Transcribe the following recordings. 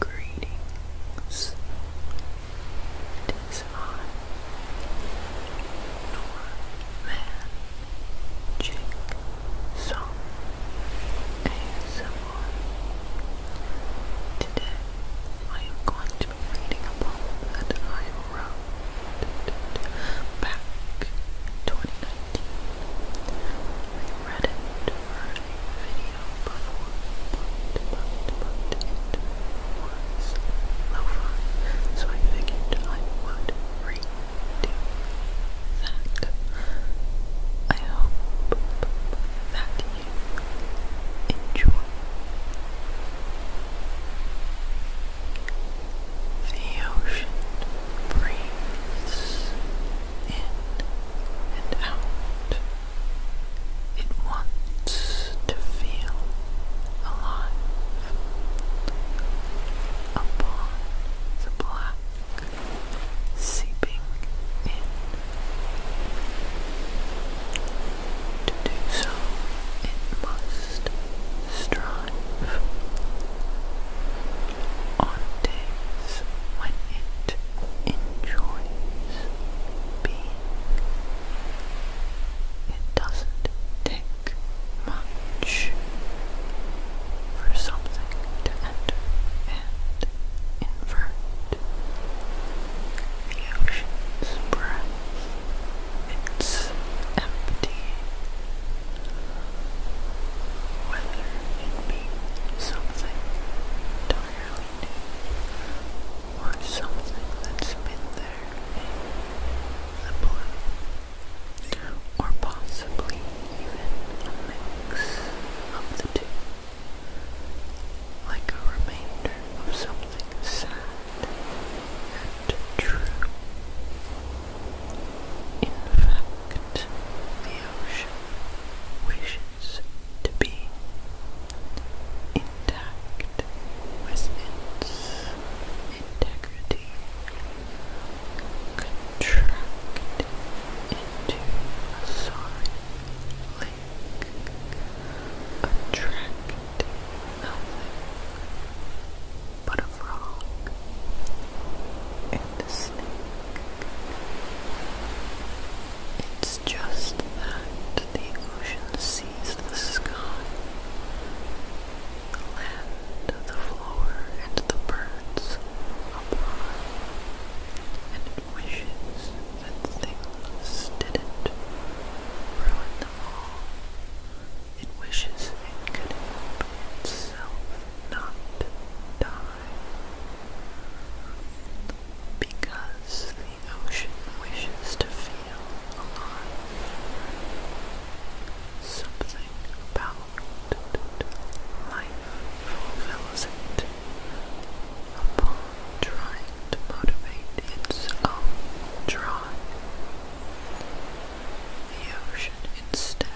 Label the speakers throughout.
Speaker 1: Greetings. It is Norman Jake Song ASMR, everyone. Today, I am going to be reading a poem that I wrote back 2019. I read it for a video before, but, it was lo-fi, so I figured I would read that. I hope that enjoy. The ocean breathes in and out. It wants to feel alive. Upon the black seeping in. To do so, it must strive on days when it enjoys being. It doesn't take much for something to enter and invert. The ocean's breath, it's empty. Whether it be something entirely new or something that's been there in the blue, or possibly even a mix of the two like a remainder of something sad and true. In fact, the ocean wishes to be intact with its integrity, contracted into a sorry like attract nothing but a frog and a snake. It's just that the ocean sees the sky, the land, the floor, and the birds above and wishes that things didn't ruin them all. It wishes it could help itself not die. Because the ocean wishes to feel alive. Something about life fulfills it upon trying to motivate its own drive. The ocean instead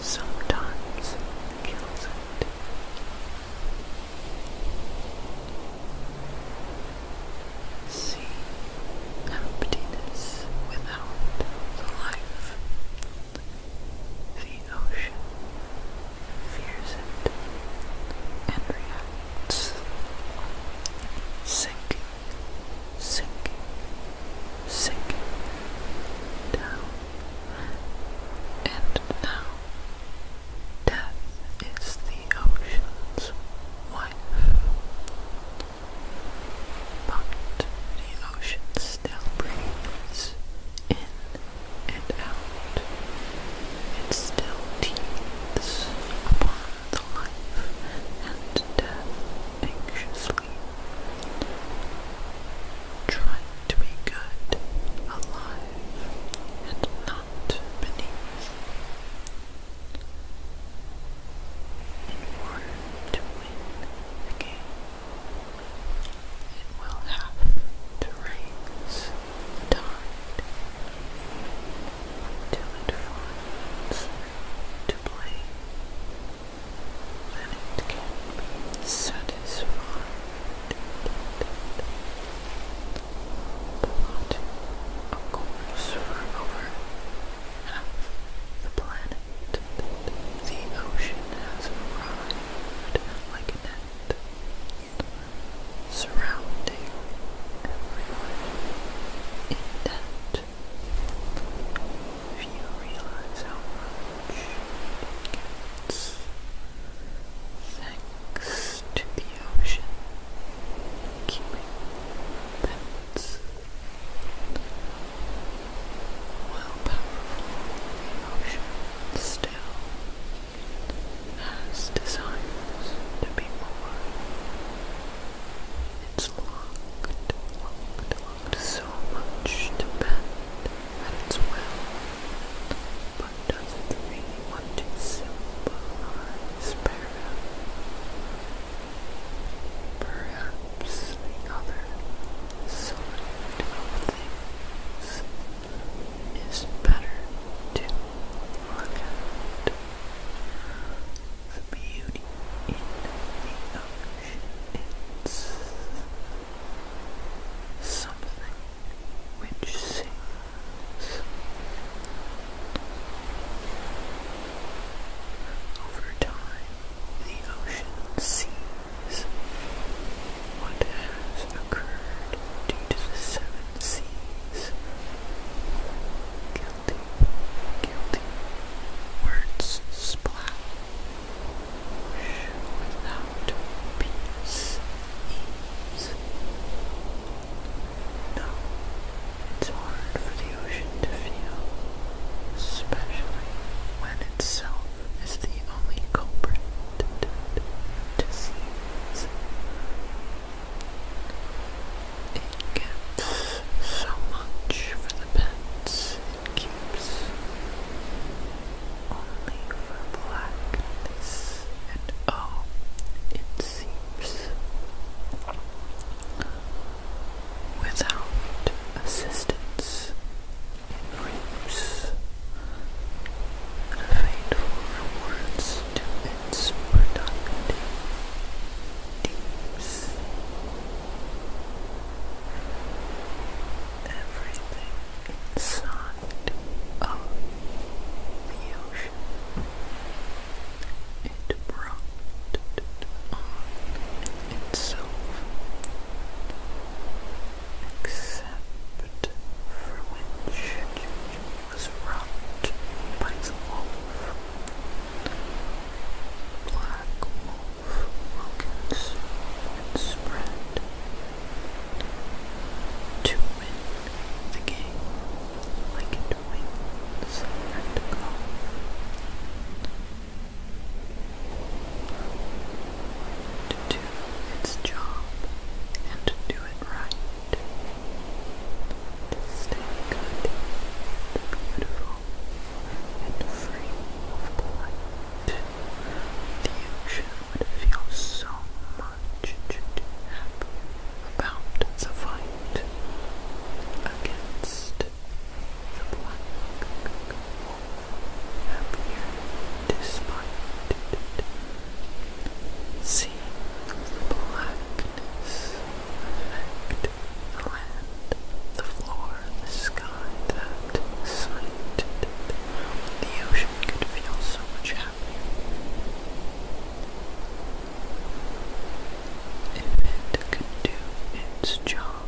Speaker 1: sometimes kills it. See emptiness without life the ocean fears it and reacts, sinking, sinking, sinking down. And now, death is the ocean's wife. But the ocean still breathes in and out. It still teems upon the life and death anxiously. Trying to be good, alive, and not beneath. In order to it will have to raise the till it finds to play. Then it can be satisfied. But, of course, over half the planet. The ocean has arrived like a net, surrounding everyone in debt. Few realize how much it thanks to the ocean keeping pets while powerful, the ocean still has desires to be more. It's locked, locked, locked so much to bend at its will, but doesn't really want to symbolize para. Perhaps the other so many things, it's better to look at the beauty in the ocean. something which sings. Over time, the ocean sees what has occurred due to the seven seas. Guilty, guilty, words splash without peace, No, it's hard for the confusion to feel, especially when itself is the only culprit It gets so much for the pets keeps, only for blackness, and oh, it seems without assistance in rooms and a faithful rewards its productive deeps. Everything inside of the ocean. It broke on itself, except for which it was wrought by the wolf. Black wolf will and spread to win the like it wins at golf to do its job and to do it right. To stay good, beautiful, and free of blight. The ocean would feel so much happy about the fight against the black wolf appeared despite Seeing the blackness affect the land, the floor, the sky, that sight, the ocean could feel so much happier. If it could do its job, and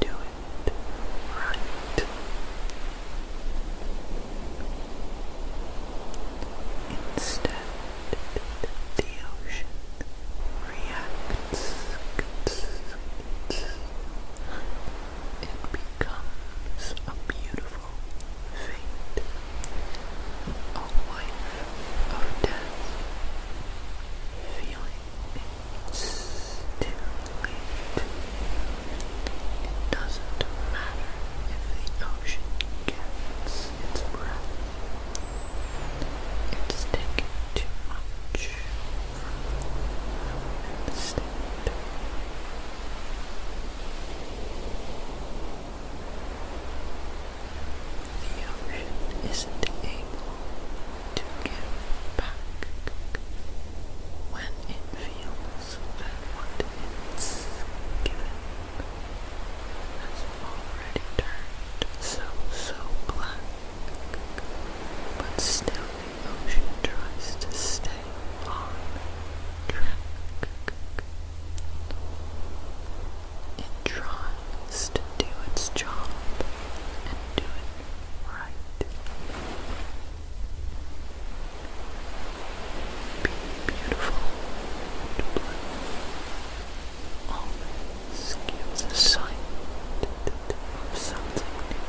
Speaker 1: do it right. Instead, the ocean reacts and becomes a beautiful fate, a life of death, feeling it still late. It doesn't matter if the ocean gets its breath. It's taken too much from the the ocean isn't able to give back when it feels that what it's given has already turned so, so black. But still the ocean tries to stay on track. It tries to do its job and do it right. Be beautiful and blue always gives a sight of something new.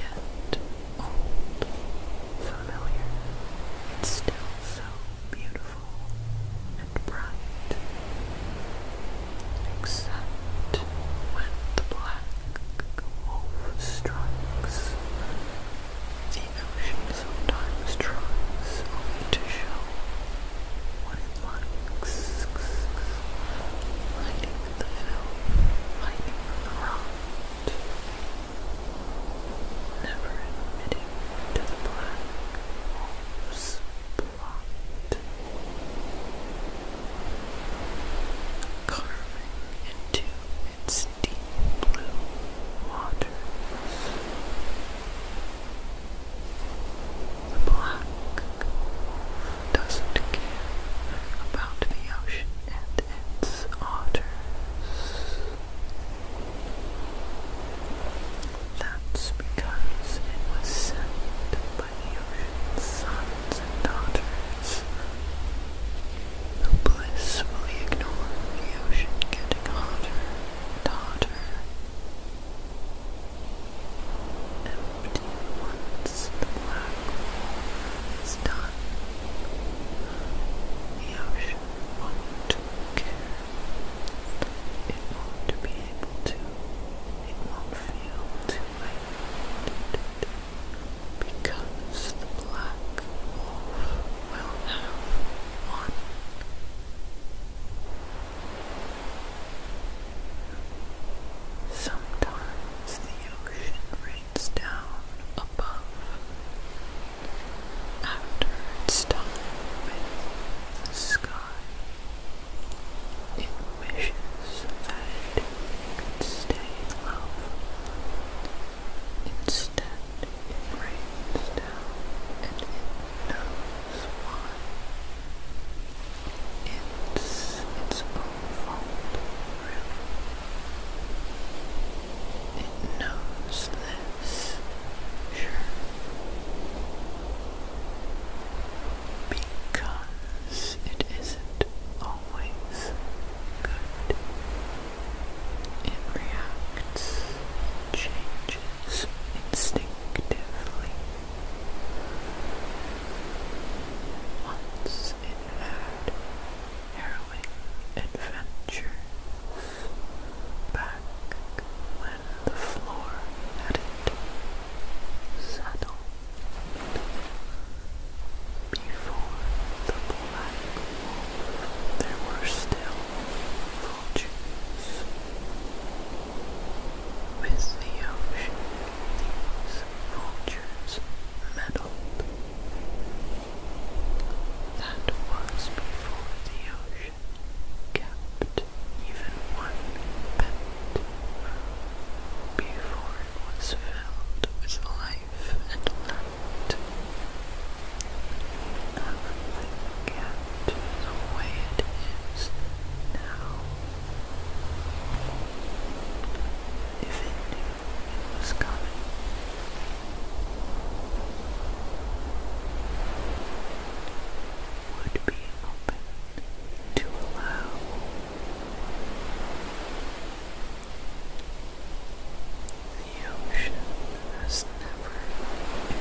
Speaker 1: Yet old, familiar, still so beautiful and bright, except when the black wolf strikes. The ocean sometimes tries only to show what it likes, lighting the film, lighting the rot never admitting to the black hole's plot. Carving into its deep blue waters. The black doesn't care about the ocean and its otters. That's because it was sent by the ocean's sons and daughters who blissfully ignore the ocean getting hotter and hotter. Empty once the black is done, the ocean won't care it won't be able to, it won't feel too late because the black wolf will have won. Sometimes the ocean rains down above, after its time with the sky. It wishes that it could stay low. Instead, it rains down and it knows why. It's its own it knows this, sure, because it isn't always good. It reacts, changes instinctively. Once in had harrowing adventures back when the floor hadn't settled before the black wolf there were still vultures with the ocean these vultures meddled that was before the ocean kept even one pet, before it was filled with life and light. Everything kept the way it is now. If it was coming, would be open to allow the ocean has never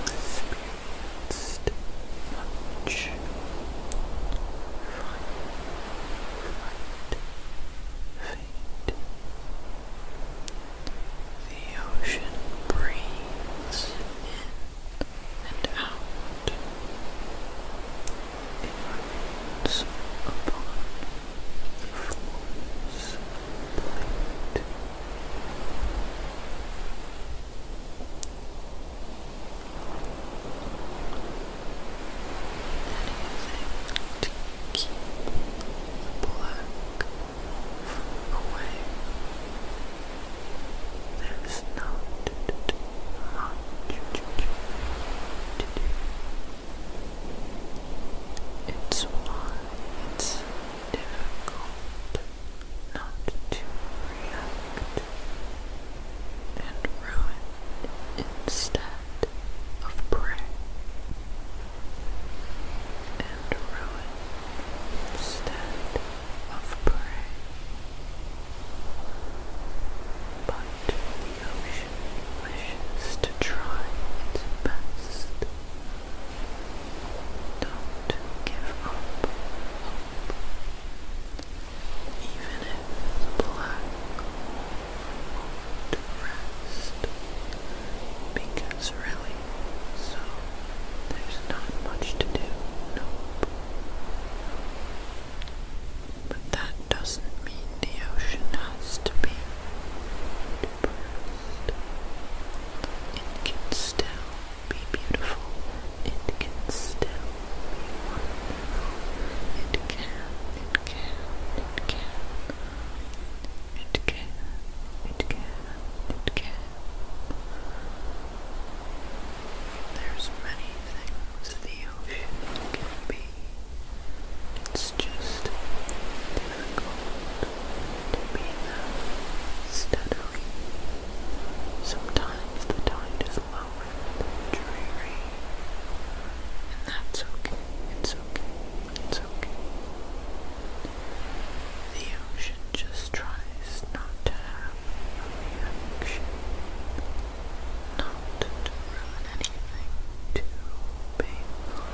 Speaker 1: experienced much fate, the ocean breathes in and out. It runs upon the floor's plate. Anything to keep the black away. There's not much to do. It's why it's difficult not to react and ruin instead of Prey and Ruin instead of Prey. But the ocean wishes to try its best. Don't give up hope. Even if the black to because really, so there's not much to do, nope. But that doesn't mean the ocean has to be depressed. It can still be beautiful. It can still be wonderful. It can, it can, it can. It can, it can, it can. There's many things the ocean can be. It's just difficult to be there steadily. Sometimes the tide is low dreary. And that's okay. It's okay. It's okay. The ocean just tries not to have any action, not to ruin anything too painful.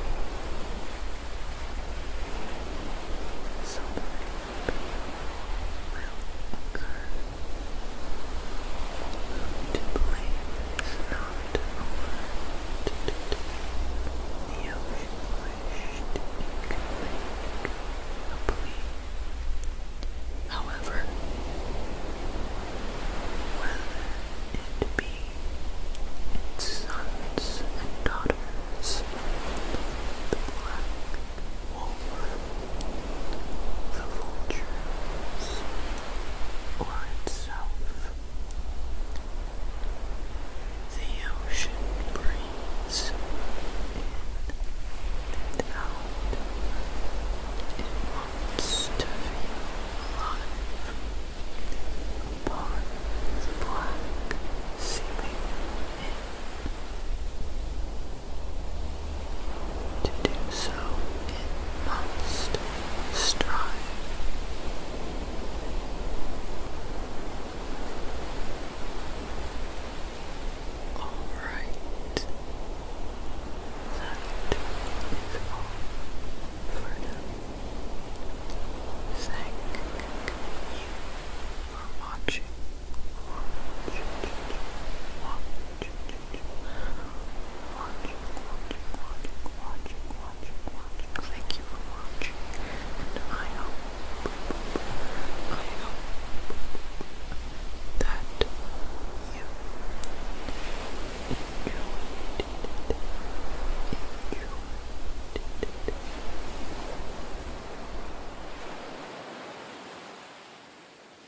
Speaker 1: Something painful will occur. to blame is out However, whether it be its sons and daughters, the black wolf, the vultures, or itself, the ocean breathes in and out. It wants to feel alive upon the black ceiling. To do so, it must strive. All right, that is all for now. Thank you for watching. watch, watching, watching, watching, watching, watching. Thank you for watching, and I hope, I hope that you enjoyed it, enjoyed it.